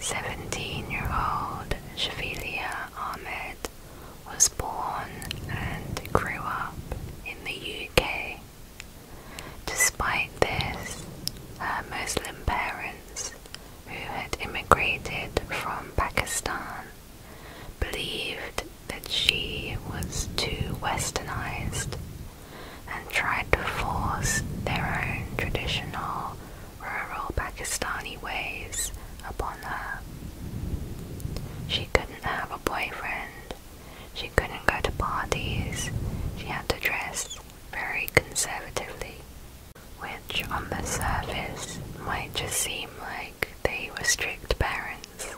Seventeen-year-old Shafilia Ahmed was born and grew up in the UK. Despite this, her Muslim parents, who had immigrated from Pakistan, believed that she was too westernized and tried to force their own traditional rural Pakistani ways upon her. She couldn't have a boyfriend, she couldn't go to parties, she had to dress very conservatively, which on the surface might just seem like they were strict parents,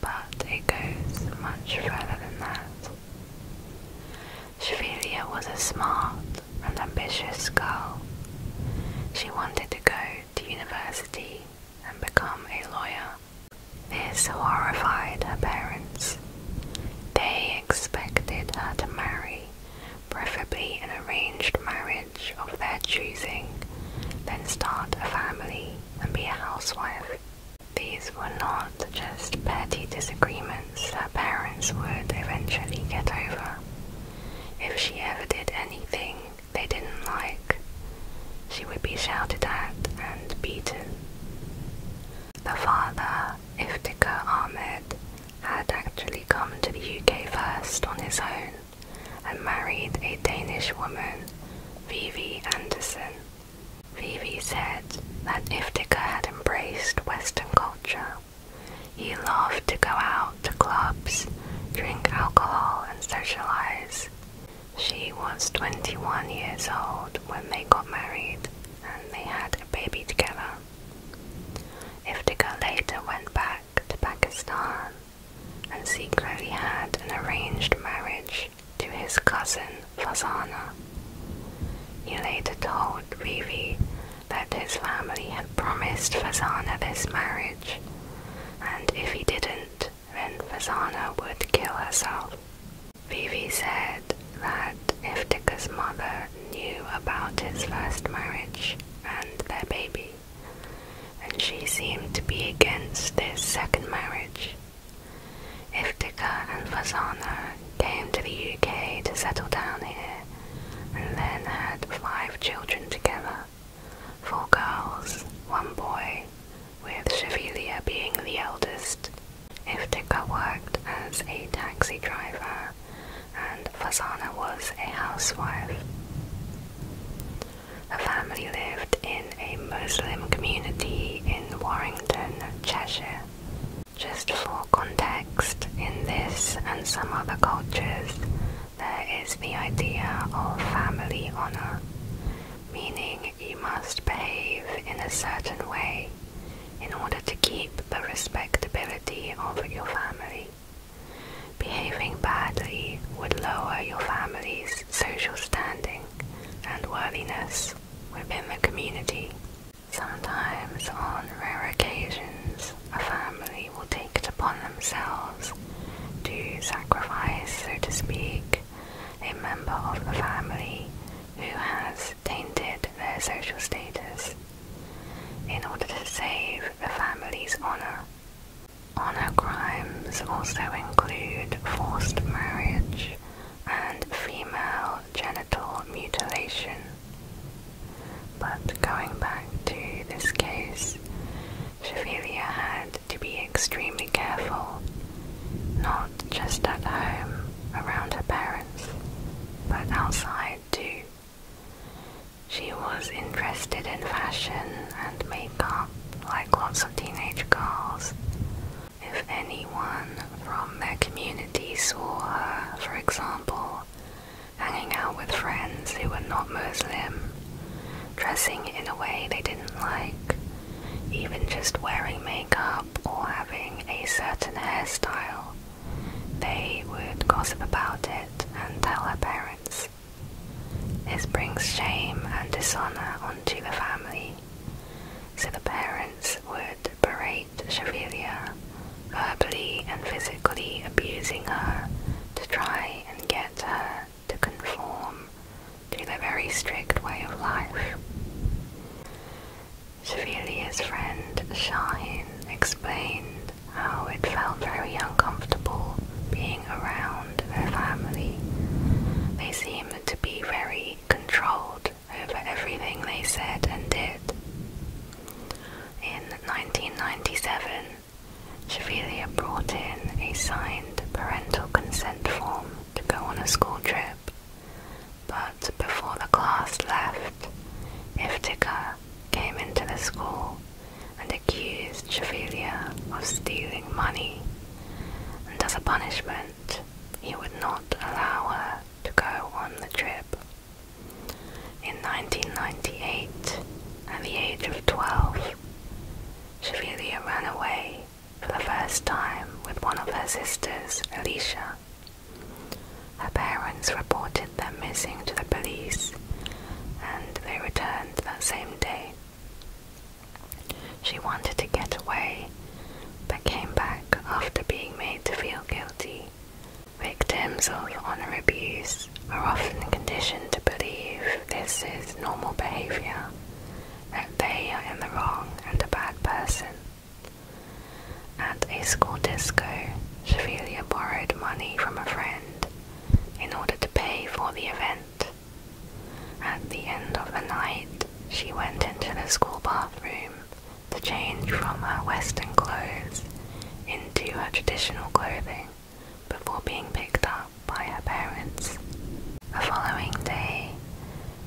but it goes much further than that. Chevelia was a smart and ambitious girl. She wanted to go to university and become a lawyer. This horrified her parents. They expected her to marry, preferably an arranged marriage of their choosing, then start a family and be a housewife. These were not just petty disagreements confidence that parents would eventually get over. If she ever did anything they didn't like, she would be shouted at and beaten. The father, Iftikhar Ahmed, had actually come to the UK first on his own and married a Danish woman, Vivi Anderson. Vivi said that Iftikhar had embraced Western culture he loved to go out to clubs, drink alcohol, and socialize. She was 21 years old when they got married and they had a baby together. Iftekhar later went back to Pakistan and secretly had an arranged marriage to his cousin Fazana. He later told Vivi that his family had promised Fasana this marriage, and if he didn't, then Fasana would kill herself. Vivi said that Iftika's mother knew about his first marriage and their baby, and she seemed to be against this second marriage. Iftika and Fasana came to the UK to settle down here, and then had five children together four girls, one boy, with Chevelia being the eldest. Iftikhar worked as a taxi driver, and Fazana was a housewife. The family lived in a Muslim community in Warrington, Cheshire. Just for context, in this and some other cultures, there is the idea of family honor, meaning you must behave in a certain way in order to keep the respectability of your family. Behaving badly would lower your family's social standing and worthiness within the community. Sometimes, on rare occasions, a family will take it upon themselves to sacrifice, so to speak, a member of the family who has tainted their social status in order to save the family's honor. Honor crimes also include forced marriage and female genital mutilation. But going back to this case, Shavilia had to be extremely careful, not just at home around her parents, but outside too. She was interested in fashion and makeup like lots of teenage girls. If anyone from their communities saw her, uh, for example, hanging out with friends who were not Muslim, dressing in a way they didn't like, even just wearing makeup or having a certain hairstyle. They would gossip about it and tell her parents. This brings shame and dishonor onto the family so the parents would berate Chevalier, verbally and physically abusing her to try and get her to conform to their very strict way of life. Chevalier's friend Shahin explained how it felt very uncomfortable being around her family. They seemed to be very controlled over everything they said and did. In 1997, Chevelia brought in a signed parental consent form to go on a school trip, but before the class left, Iftikhar came into the school and accused Chevelia of stealing money, and as a punishment, he would not allow her to go on the trip. In 1998, at the age of 12, Chevelia ran away for the first time with one of her sisters, Alicia. Her parents reported them missing to the police, and they returned that same day. She wanted to get away but came back after being made to feel guilty. Victims of honor abuse are often conditioned to believe this is normal behavior, that they are in the wrong and a bad person. At a school disco, Chevelia borrowed money from a friend in order to pay for the event. At the end of the night, she went into the school bathroom to change from her Western clothes into her traditional clothing before being picked up by her parents. The following day,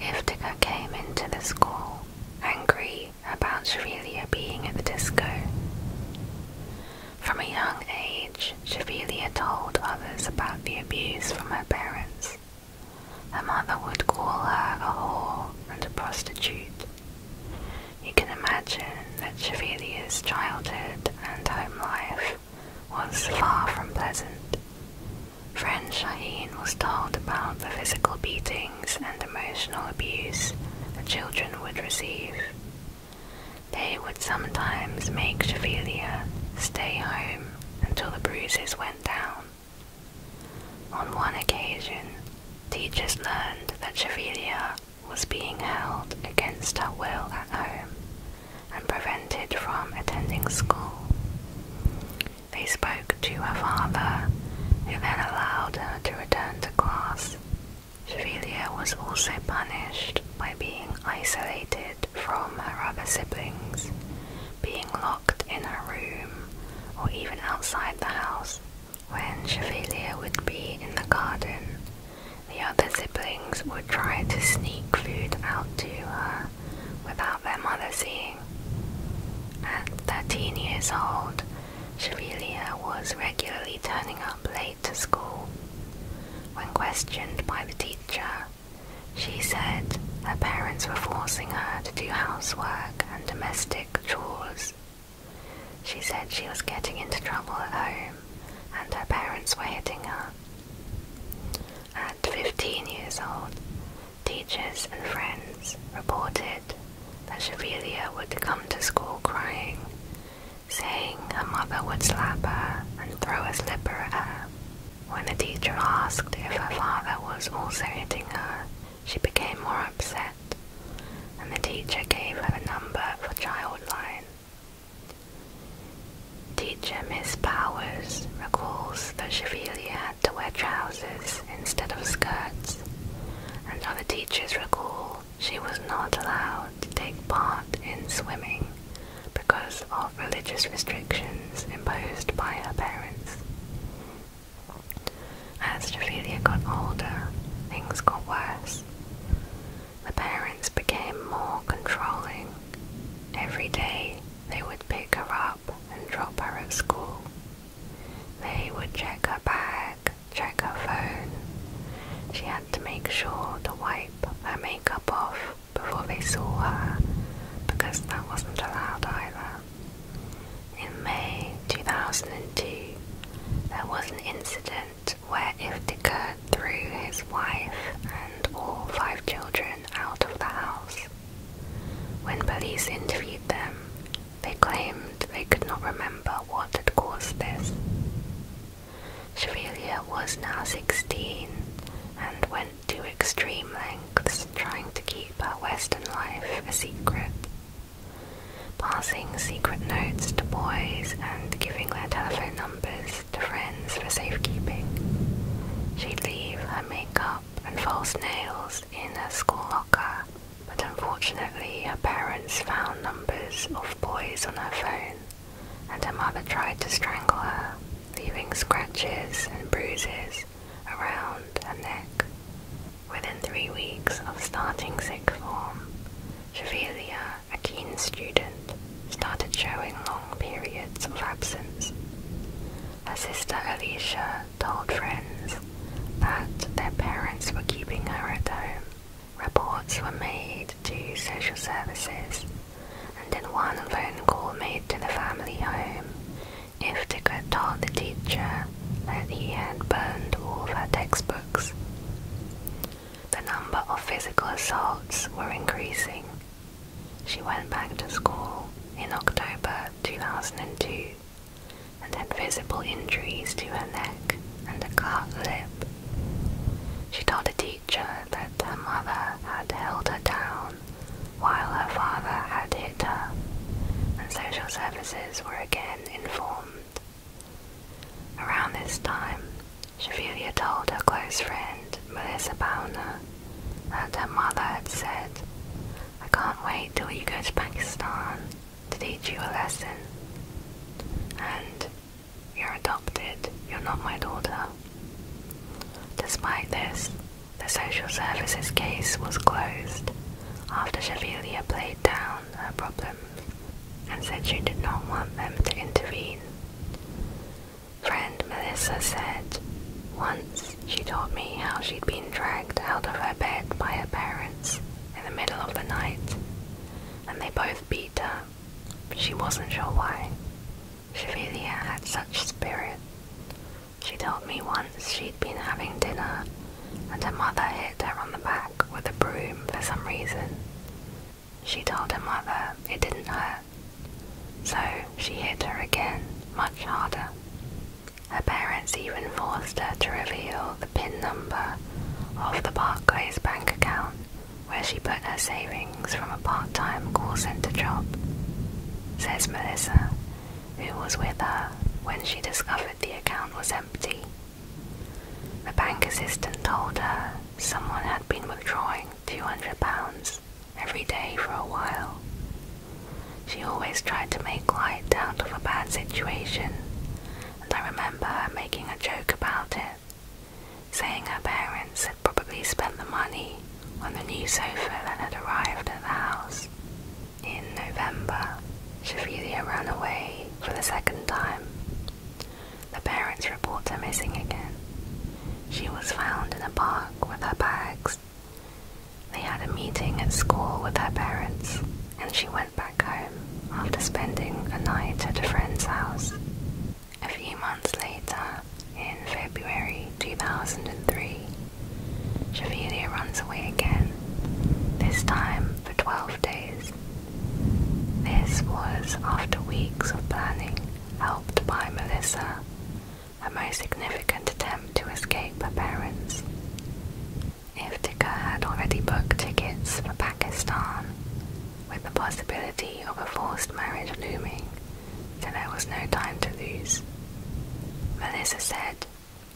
Iftika came into the school angry about Shavilia being at the disco. From a young age, Shavilia told others about the abuse from her parents her mother would call her a whore and a prostitute. You can imagine that Chevalia's childhood and home life was far from pleasant. Friends Shaheen was told about the physical beatings and emotional abuse the children would receive. They would sometimes make Chevelia stay home until the bruises went down. On one occasion, teachers learned that Chevelia was being held against her will at home and prevented from attending school. They spoke to her father, who then allowed her to return to class. Chevelia was also punished by being isolated from her other siblings, being locked locked in her room or even outside the house. When Chevalier would be in the garden, the other siblings would try to sneak food out to her without their mother seeing. At 13 years old, Chevalier was regularly turning up late to school. When questioned by the teacher, she said her parents were forcing her to do housework and domestic chores. She said she was getting into trouble at home and her parents were hitting her. At 15 years old, teachers and friends reported that Shavilia would come to school crying, saying her mother would slap her and throw a slipper at her. When the teacher asked if her father was also hitting her, she became more upset, and the teacher gave her the number for Childline. Teacher Miss Powers recalls that Chevalier had to wear trousers instead of skirts, and other teachers recall she was not allowed to take part in swimming because of religious restrictions imposed by her parents. As Ophelia got older, things got worse. The parents became more controlling. Every day they would pick her up and drop her at school. They would check her bag, check her phone. She had to make sure to wipe her makeup off before they saw her because that wasn't allowed either. In May 2002, there was an incident where Iftikhar threw his wife and all five children out of the house. When police interviewed them, they claimed they could not remember what had caused this. Chevelia was now 16 and when to extreme lengths trying to keep her Western life a secret, passing secret notes to boys and giving their telephone numbers to friends for safekeeping. She'd leave her makeup and false nails in her school locker, but unfortunately her parents found numbers of boys on her phone, and her mother tried to strangle her, leaving scratches and bruises around her neck. Within three weeks of starting sixth form, Chevelia, a keen student, started showing long periods of absence. Her sister Alicia told friends that their parents were keeping her at home. Reports were made to social services, and in one phone call made to the family home, if Iftikhar told the teacher that he had burned all of her textbooks. The number of physical assaults were increasing. She went back to school in October 2002 and had visible injuries to her neck and a cut lip. She told the teacher that her mother had held her down while her father had hit her, and social services were again informed. Around this time, Chevelia told her close friend, Melissa Bowner, that her mother had said, I can't wait till you go to Pakistan to teach you a lesson. And you're adopted, you're not my daughter. Despite this, the social services case was closed after Chevillier played down her problems and said she did not want them to intervene. Friend Melissa said, Once she told me how she'd been dragged out of her bed by her parents in the middle of the night, and they both beat her. She wasn't sure why. Chevillier had such spirit. She told me once she'd been having dinner and her mother hit her on the back with a broom for some reason. She told her mother it didn't hurt, so she hit her again, much harder. Her parents even forced her to reveal the PIN number of the Barclays bank account where she put her savings from a part time call centre job, says Melissa who was with her when she discovered the account was empty. The bank assistant told her someone had been withdrawing £200 every day for a while. She always tried to make light out of a bad situation, and I remember her making a joke about it, saying her parents had probably spent the money on the new sofa that had arrived at the house. In November, Shafilia ran away for the second time. The parents report her missing again. She was found in a park with her bags. They had a meeting at school with her parents, and she went back home after spending a night at a friend's house. A few months later, in February 2003, Javilia runs away again, this time for 12 days. This was after weeks of planning, helped by Melissa, a most significant attempt to escape her parents. If Tika had already booked tickets for Pakistan, with the possibility of a forced marriage looming so there was no time to lose. Melissa said,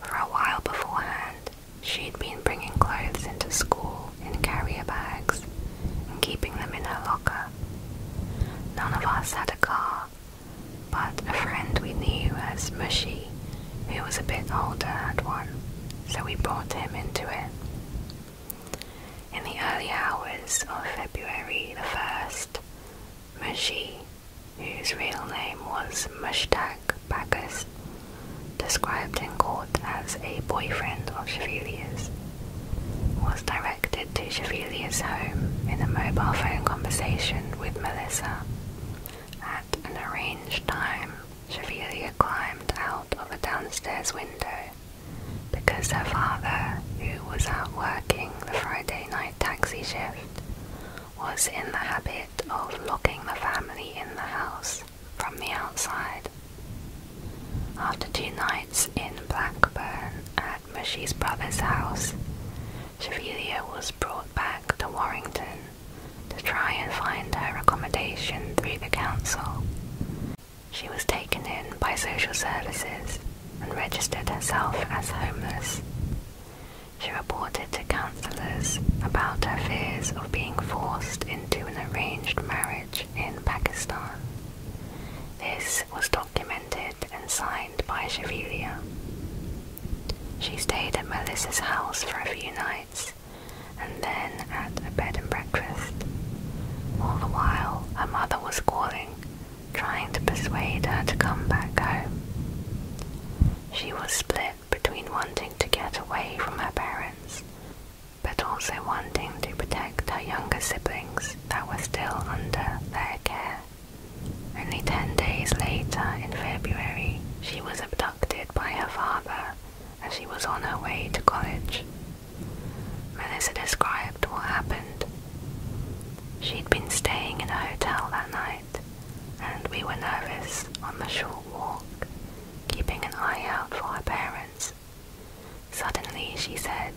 for a while beforehand, she'd been bringing clothes into school in carrier bags and keeping them in her locker. None of us had a car, but a friend we knew as Mushy, who was a bit older, had one, so we brought him into it. In the early hours of February the 1st, Mushi, whose real name was Mushtaq Bacchus, described in court as a boyfriend of Chevalier's, was directed to Chevalier's home in a mobile phone conversation with Melissa. At an arranged time, Chevalier climbed out of a downstairs window because her father, who was out working, the Friday night taxi shift, was in the habit of locking the family in the house from the outside. After two nights in Blackburn at Mushy's brother's house, Chevelia was brought back to Warrington to try and find her accommodation through the council. She was taken in by social services and registered herself as homeless. She reported to councillors about her fears of being forced into an arranged marriage in Pakistan. This was documented and signed by Shavilia. She stayed at Melissa's house for a few nights and then at a bed and breakfast. All the while, her mother was calling trying to persuade her to come back home. She was split between wanting to get away from her parents, but also wanting to protect her younger siblings that were still under their care. Only ten days later, in February, she was abducted by her father as she was on her way to college. Melissa described what happened. She'd been staying in a hotel that night, and we were nervous on the short walk, keeping an eye out for her parents. Suddenly she said,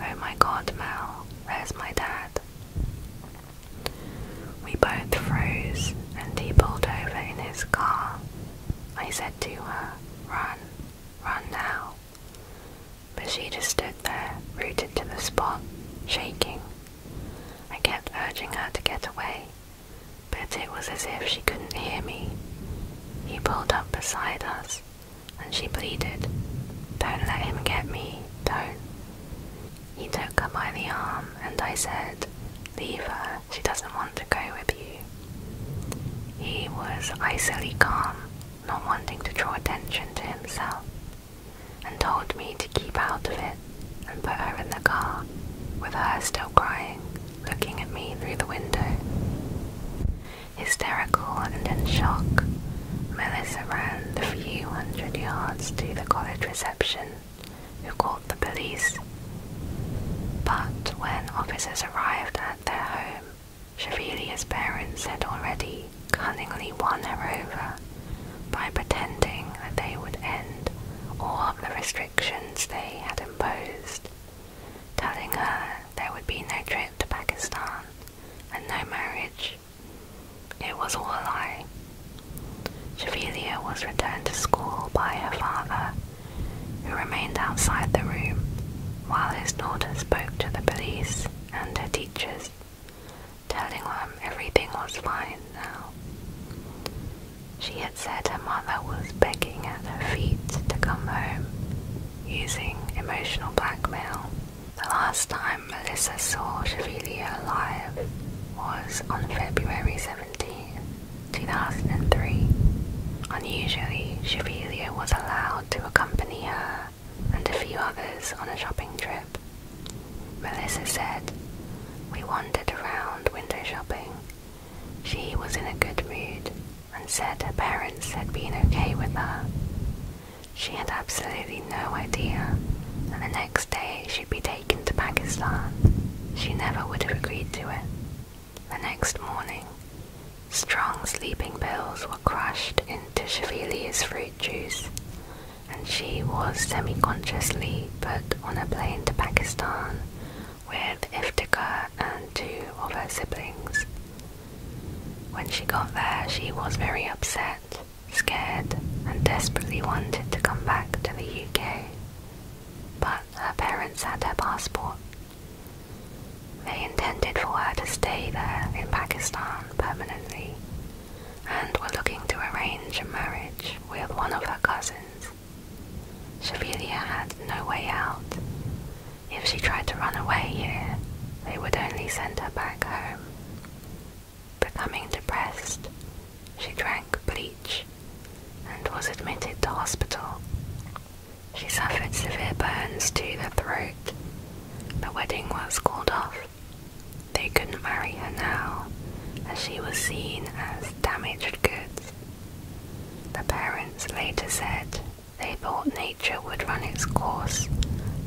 Oh my god, Mel, where's my dad. We both froze and he pulled over in his car. I said to her, Run, run now. But she just stood there, rooted to the spot, shaking. I kept urging her to get away, but it was as if she couldn't hear me. He pulled up beside us, and she pleaded, Don't let him get me, don't. He took her by the arm, and I said, Leave her, she doesn't want to go with you. He was icily calm, not wanting to draw attention to himself, and told me to keep out of it and put her in the car, with her still crying, looking at me through the window. Hysterical and in shock, Melissa ran the few hundred yards to the college reception, who called the police. But when officers arrived at their home, Chevalia's parents had already cunningly won her over by pretending that they would end all of the restrictions they had imposed, telling her there would be no trip to Pakistan and no marriage. It was all a lie. Chevelia was returned to school by her father, who remained outside the room while his daughter spoke to the police and her teachers telling them everything was fine now. She had said her mother was begging at her feet to come home, using emotional blackmail. The last time Melissa saw Chevillier alive was on February seventeenth, two 2003. Unusually, Chevillier was allowed to accompany her and a few others on a shopping trip. Melissa said, We wandered around window shopping. She was in a good mood and said her parents had been okay with her. She had absolutely no idea that the next day she'd be taken to Pakistan. She never would have agreed to it. The next morning, Strong sleeping pills were crushed into Shavilia's fruit juice, and she was semi consciously put on a plane to Pakistan with Iftikhar and two of her siblings. When she got there, she was very upset, scared, and desperately wanted to come back to the UK. But her parents had her passport. They intended for her to stay there in Pakistan permanently and were looking to arrange a marriage with one of her cousins. Shavilia had no way out. If she tried to run away here, they would only send her back home. Becoming depressed, she drank bleach and was admitted to hospital. She suffered severe burns to the throat the wedding was called off. They couldn't marry her now, as she was seen as damaged goods. The parents later said they thought nature would run its course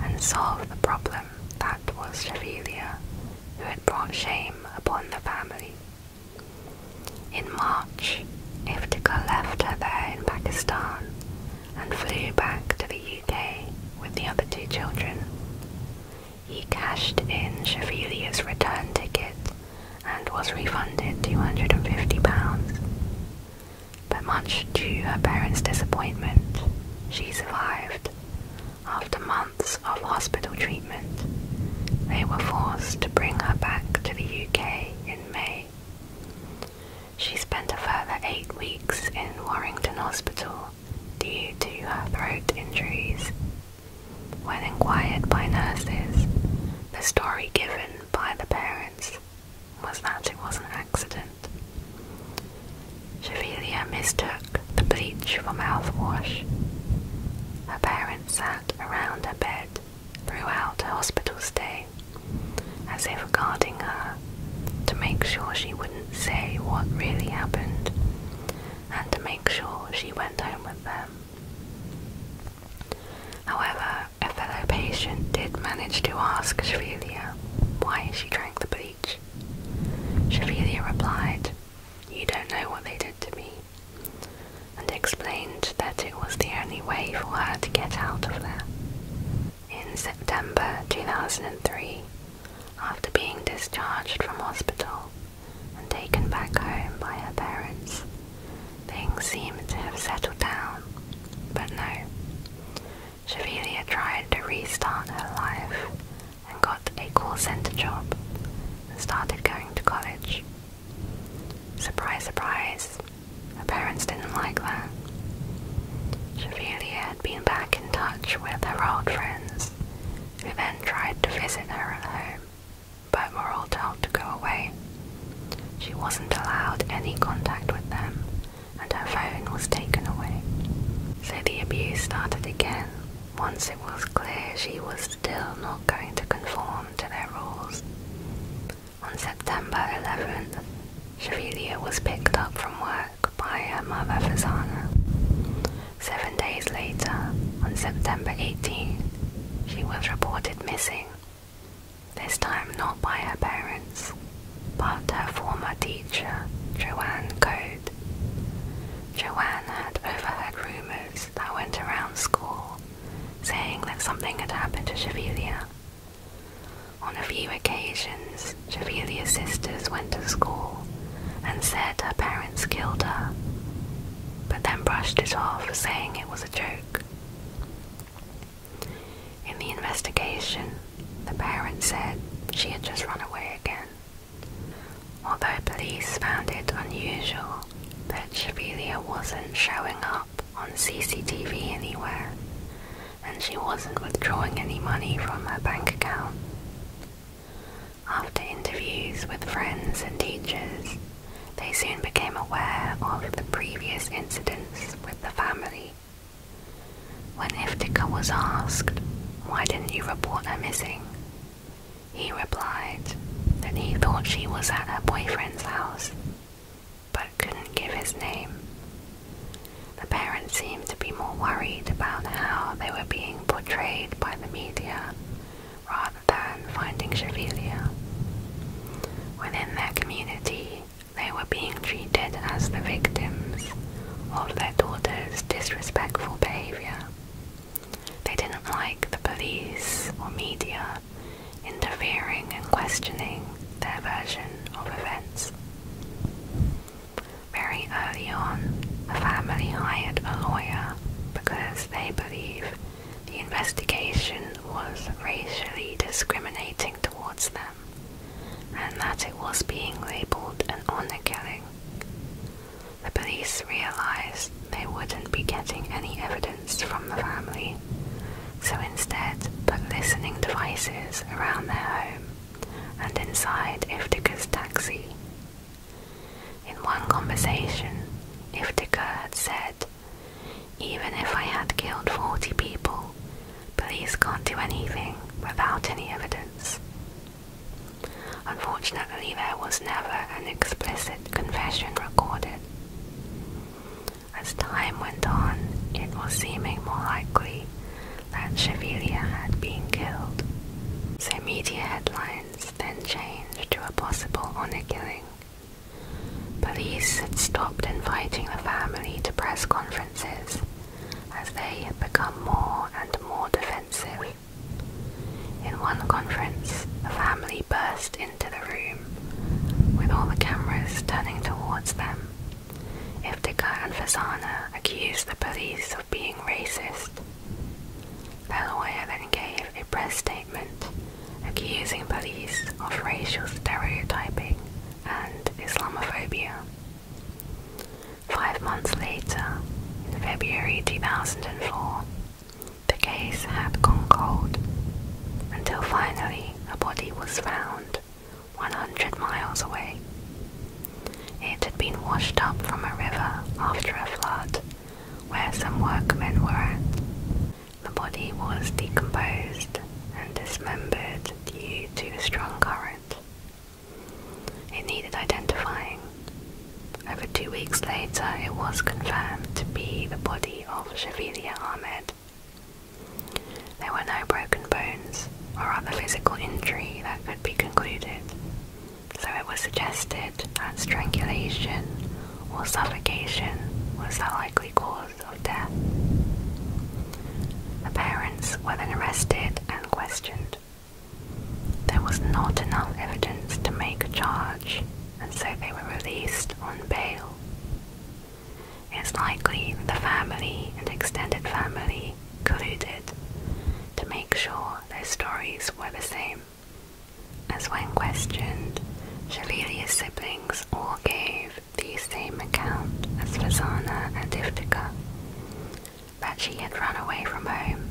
and solve the problem that was Chevelia, who had brought shame upon the family. In March, Iftikhar left her there in Pakistan and flew back to the UK with the other two children. He cashed in Chevilier's return ticket and was refunded £250. But much to her parents' disappointment, she survived. After months of hospital treatment, they were forced to bring her back to the UK in May. She spent a further eight weeks in Warrington Hospital due to her throat injuries. When inquired by nurses, the story given by the parents was that it was an accident. Chevelia mistook the bleach for mouthwash. Her parents sat around her bed throughout her hospital stay, as if guarding her to make sure she wouldn't say what really happened and to make sure she went home with them. However, a fellow patient did manage to ask Shavilia why she drank the bleach. Shavilia replied, You don't know what they did to me, and explained that it was the only way for her to get out of there in September 2003 after being discharged from hospital and taken back home by her parents. Things seemed to have settled down, but no. Shavilia tried to restart her life and got a call center job and started going to college. Surprise, surprise, her parents didn't like that. Chevalier had been back in touch with her old friends, who then tried to visit her at home, but were all told to go away. She wasn't allowed any contact with them, and her phone was taken away. So the abuse started again once it was clear she was still not going to conform to their rules. On September 11th, Shirelia was picked up from work by her mother Fasana. Seven days later, on September 18th, she was reported missing, this time not by her parents, but her former teacher, Joanne Code. Joanne had overheard rumours that went around school saying that something had happened to Chevelia on a few occasions, Javelia's sisters went to school and said her parents killed her, but then brushed it off, saying it was a joke. In the investigation, the parents said she had just run away again. Although police found it unusual that Javelia wasn't showing up on CCTV anywhere, and she wasn't withdrawing any money from her bank account. After interviews with friends and teachers, they soon became aware of the previous incidents with the family. When Iftika was asked, Why didn't you report her missing? he replied that he thought she was at her boyfriend's house but couldn't give his name. The parents seemed to be more worried about how they were being portrayed by the media rather than finding Chevelia. Within their community, they were being treated as the victims of their daughter's disrespectful behavior. They didn't like the police or media interfering and questioning their version of events. Very early on, the family hired a lawyer because they believe the investigation was racially discriminating towards them and that it was being labeled an honor killing. The police realized they wouldn't be getting any evidence from the family, so instead put listening devices around their home and inside Iftika's taxi. In one conversation, Iftika had said, Even if I had killed 40 people, police can't do anything without any evidence. Unfortunately, there was never an explicit confession recorded. As time went on, it was seeming more likely that Chevelia had been killed, so media headlines then changed to a possible honor killing. Police had stopped inviting the family to press conferences as they had become more and more defensive. In one conference, the family burst into the room with all the cameras turning towards them. Iftikhar and Fazana accused the police of being racist. Their lawyer then gave a press statement accusing police of racial stereotyping and Islamophobia. Five months later, in February 2004, the case had gone cold until finally a body was found. 100 miles away. It had been washed up from a river after a flood where some workmen were. The body was decomposed and dismembered due to a strong current. It needed identifying. Over two weeks later, it was confirmed to be the body of Shavilia Ahmed, there were no broken bones or other physical injury that could be concluded, so it was suggested that strangulation or suffocation was the likely cause of death. The parents were then arrested and questioned. There was not enough evidence to make a charge, and so they were released on bail. It's likely the family and extended family colluded to make sure their stories were the same. As when questioned, Shalilia's siblings all gave the same account as Fasana and Iftika, that she had run away from home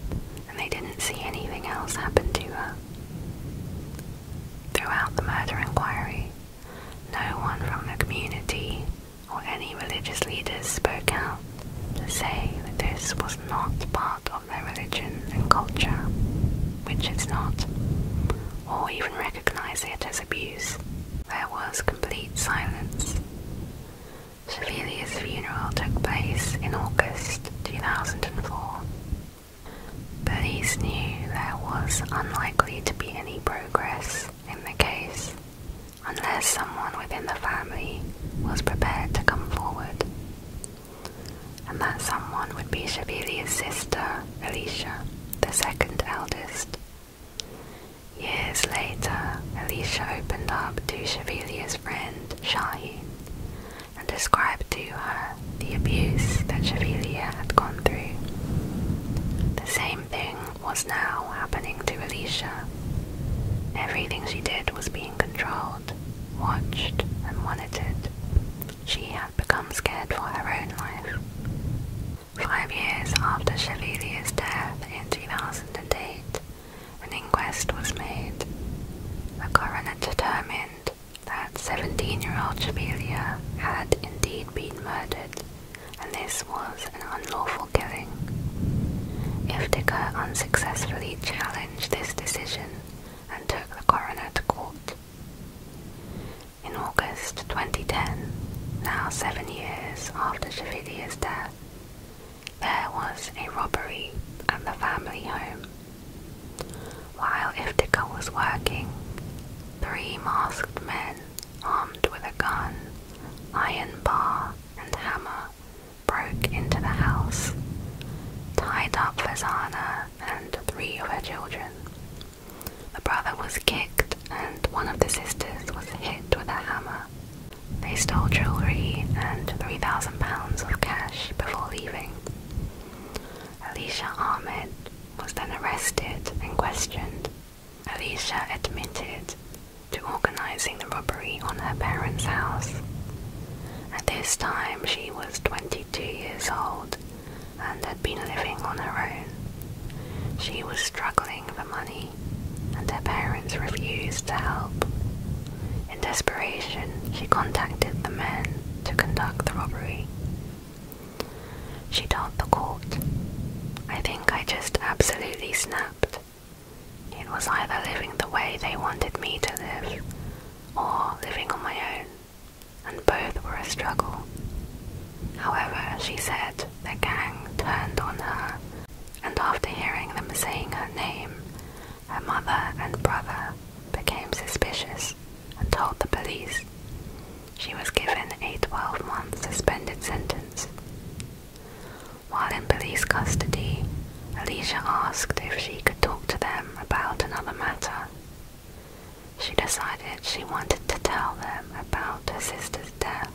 and they didn't see anything else happen to her. Throughout the murder inquiry, no one from the community or any religious leaders spoke out to say that this was not part of their religion and culture, which it's not, or even recognize it as abuse. There was complete silence. Sevelia's funeral took place in August 2004 Police knew there was unlikely to be any progress in the case unless someone within the family was prepared to come forward, and that someone would be Shavilia's sister, Alicia, the second eldest. Years later, Alicia opened up to Shavilia's friend, Shaheen, and described to her the abuse that Chevelia had gone through. The same thing was now happening to Alicia. Everything she did was being controlled, watched, and monitored. She had become scared for her own life. Five years after Chevelier's death in 2008, an inquest was made. The coroner determined that 17 year old Jamelia had indeed been murdered, and this was an unlawful killing. If Dicker unsuccessfully challenged this decision and took the coroner to court. In August 2010, now seven years after Javilia's death, there was a robbery at the family home while Iftikhar was working, three masked men armed with a gun, iron bar, and hammer broke into the house, tied up Fazana and three of her children. The brother was kicked, and one of the sisters was hit with a hammer. They stole jewelry and £3,000 of cash before leaving. Alicia Ahmed was then arrested and questioned. Alicia admitted to organizing the robbery on her parents' house. At this time, she was 22 years old and had been living on her own. She was struggling for money, and her parents refused to help. In desperation, she contacted the men to conduct the robbery, she told the court, I think I just absolutely snapped. It was either living the way they wanted me to live or living on my own, and both were a struggle. However, she said the gang turned on her, and after hearing them saying her name, her mother and brother became suspicious and told the police. She was given a 12 month suspended sentence. While in police custody, Alicia asked if she could talk to them about another matter. She decided she wanted to tell them about her sister's death.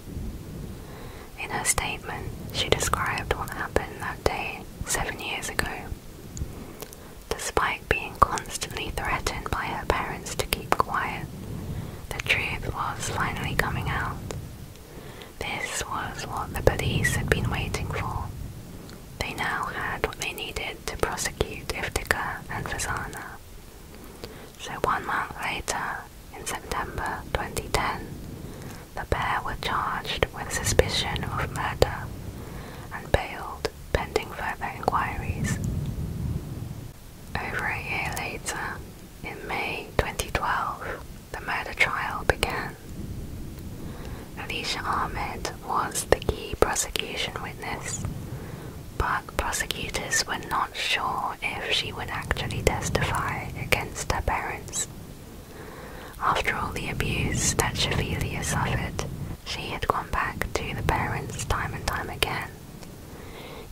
In her statement, she described what happened that day seven years ago. Despite being constantly threatened by her parents to keep quiet, the truth was finally coming out. This was what the police had been waiting for. They now had what they needed to prosecute Iftikhar and Fazana. So one month later, in September 2010, the pair were charged with suspicion of murder and bailed pending further inquiries. Over a year later, in May 2012, the murder trial began. Alicia Ahmed was the key prosecution witness, but prosecutors were not sure if she would actually testify against her parents. After all the abuse that Shafilia suffered, she had gone back to the parents time and time again.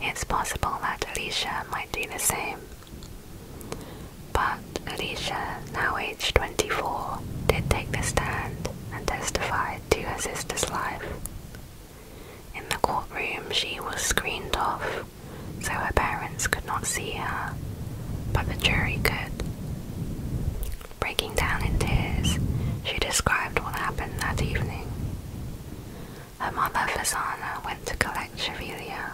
It's possible that Alicia might do the same. But Alicia, now aged 24, did take the stand and testified to her sister's life. In the courtroom, she was screened off, so her parents could not see her, but the jury could. Breaking down in tears, she described what happened that evening. Her mother, Fasana, went to collect Chevelia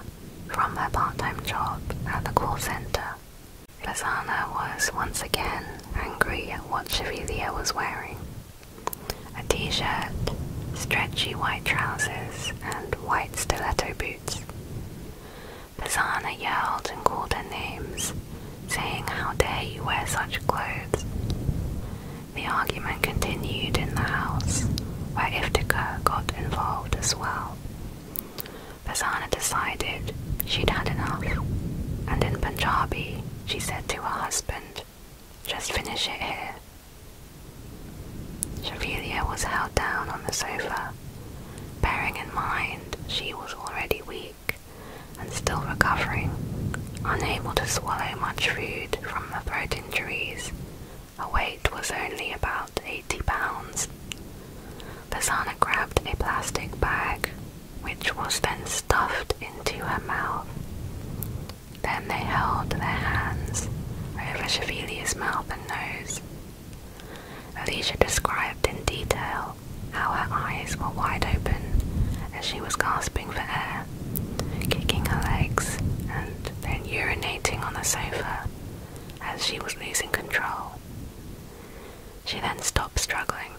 from her part-time job at the call center. Fasana was once again angry at what Chevelia was wearing. A t-shirt, stretchy white trousers, and white stiletto boots. Fasana yelled and called her names, saying how dare you wear such clothes. The argument continued in the house, where Iftikhar got involved as well. Basana decided she'd had enough, and in Punjabi she said to her husband, just finish it here. Shavilia was held down on the sofa, bearing in mind she was already weak and still recovering, unable to swallow much food from the throat injuries, her weight was only about 80 pounds. Basana grabbed a plastic bag, which was then stuffed into her mouth. Then they held their hands over Chevalia's mouth and nose. Alicia described in detail how her eyes were wide open as she was gasping for air, kicking her legs, and then urinating on the sofa as she was losing control. She then stopped struggling.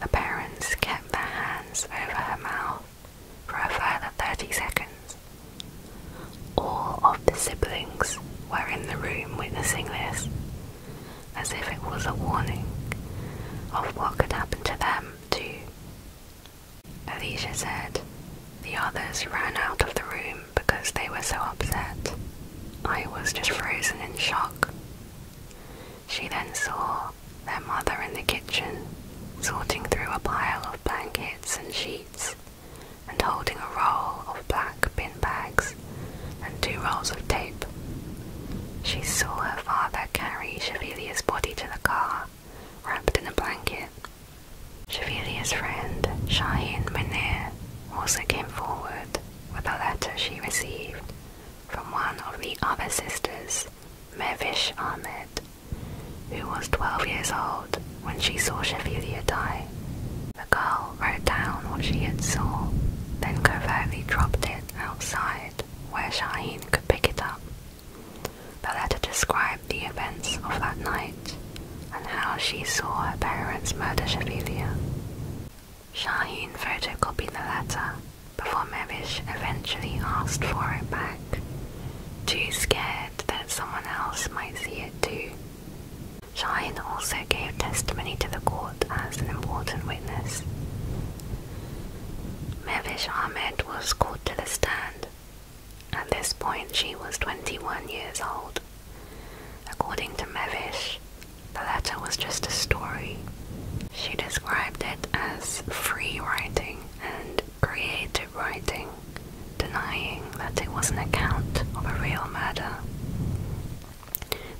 The parents kept their hands over her mouth for a further 30 seconds. All of the siblings were in the room witnessing this, as if it was a warning of what could happen to them, too. Alicia said, The others ran out of the room because they were so upset. I was just frozen in shock. She then saw their mother in the kitchen, sorting through a pile of blankets and sheets and holding a roll of blankets black bags and two rolls of tape. She saw her father carry Chevalier's body to the car, wrapped in a blanket. Chevalier's friend, Shaheen Munir, also came forward with a letter she received from one of the other sisters, Mevish Ahmed, who was 12 years old when she saw Chevalier die. The girl wrote down what she had saw, then covertly dropped it outside where Shaheen could pick it up. The letter described the events of that night and how she saw her parents murder Shafilia. Shaheen photocopied the letter before Mevish eventually asked for it back, too scared that someone else might see it too. Shine also gave testimony to the court as an important witness. Mevish Ahmed was called to the stand. At this point, she was 21 years old. According to Mevish, the letter was just a story. She described it as free writing and creative writing, denying that it was an account of a real murder.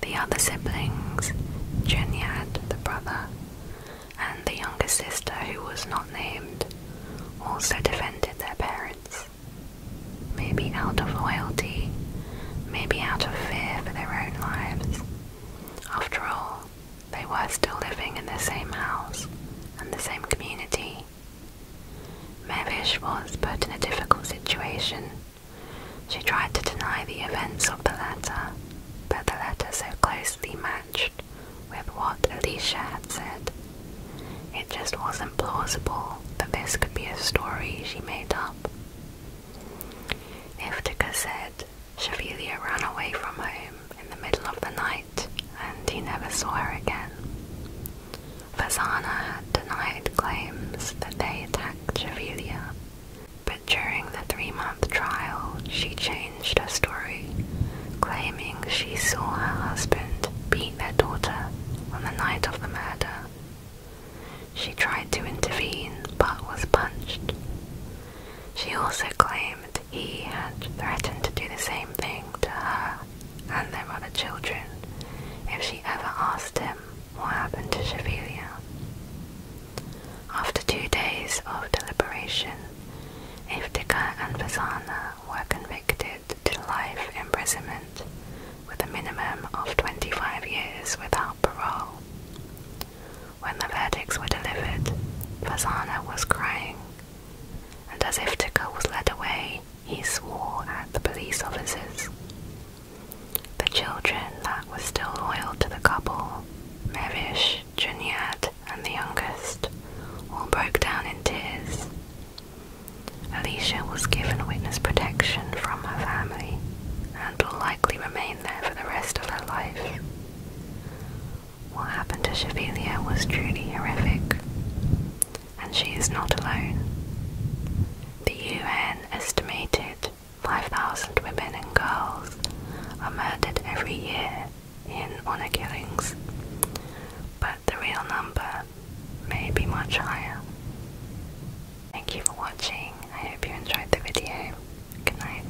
The other siblings, Jenny Juniad, the brother, and the younger sister who was not named, also defended their parents. Maybe out of loyalty, maybe out of fear for their own lives. After all, they were still living in the same house and the same community. Mevish was put in a difficult situation she tried to deny the events of the letter, but the letter so closely matched with what Alicia had said. It just wasn't plausible that this could be a story she made up. If Iftika said Chevelia ran away from home in the middle of the night and he never saw her again. Fasana denied claims that they attacked Javilia, but during the three-month trial she changed her story, claiming she saw her husband beat their daughter on the night of the murder. She tried to intervene but was punched. She also claimed he had threatened to do the same thing to her and their other children if she ever asked him what happened to Chevillier. After two days of deliberation, Iftikhar and Fasana were convicted to life imprisonment with a minimum of 25 years without parole. When the verdicts were delivered, Fasana was crying, and as Iftikhar was led away, he swore at the police officers. The children that were still loyal to the couple, Merish, Juniad, and the youngest, all broke down in tears. Alicia was given witness protection from her family and will likely remain there for the rest of her life. What happened to Chevelia was truly horrific and she is not alone. The UN estimated 5,000 women and girls are murdered every year in honor killings, but the real number may be much higher. Thank you for watching. I hope you enjoyed the video. Good night.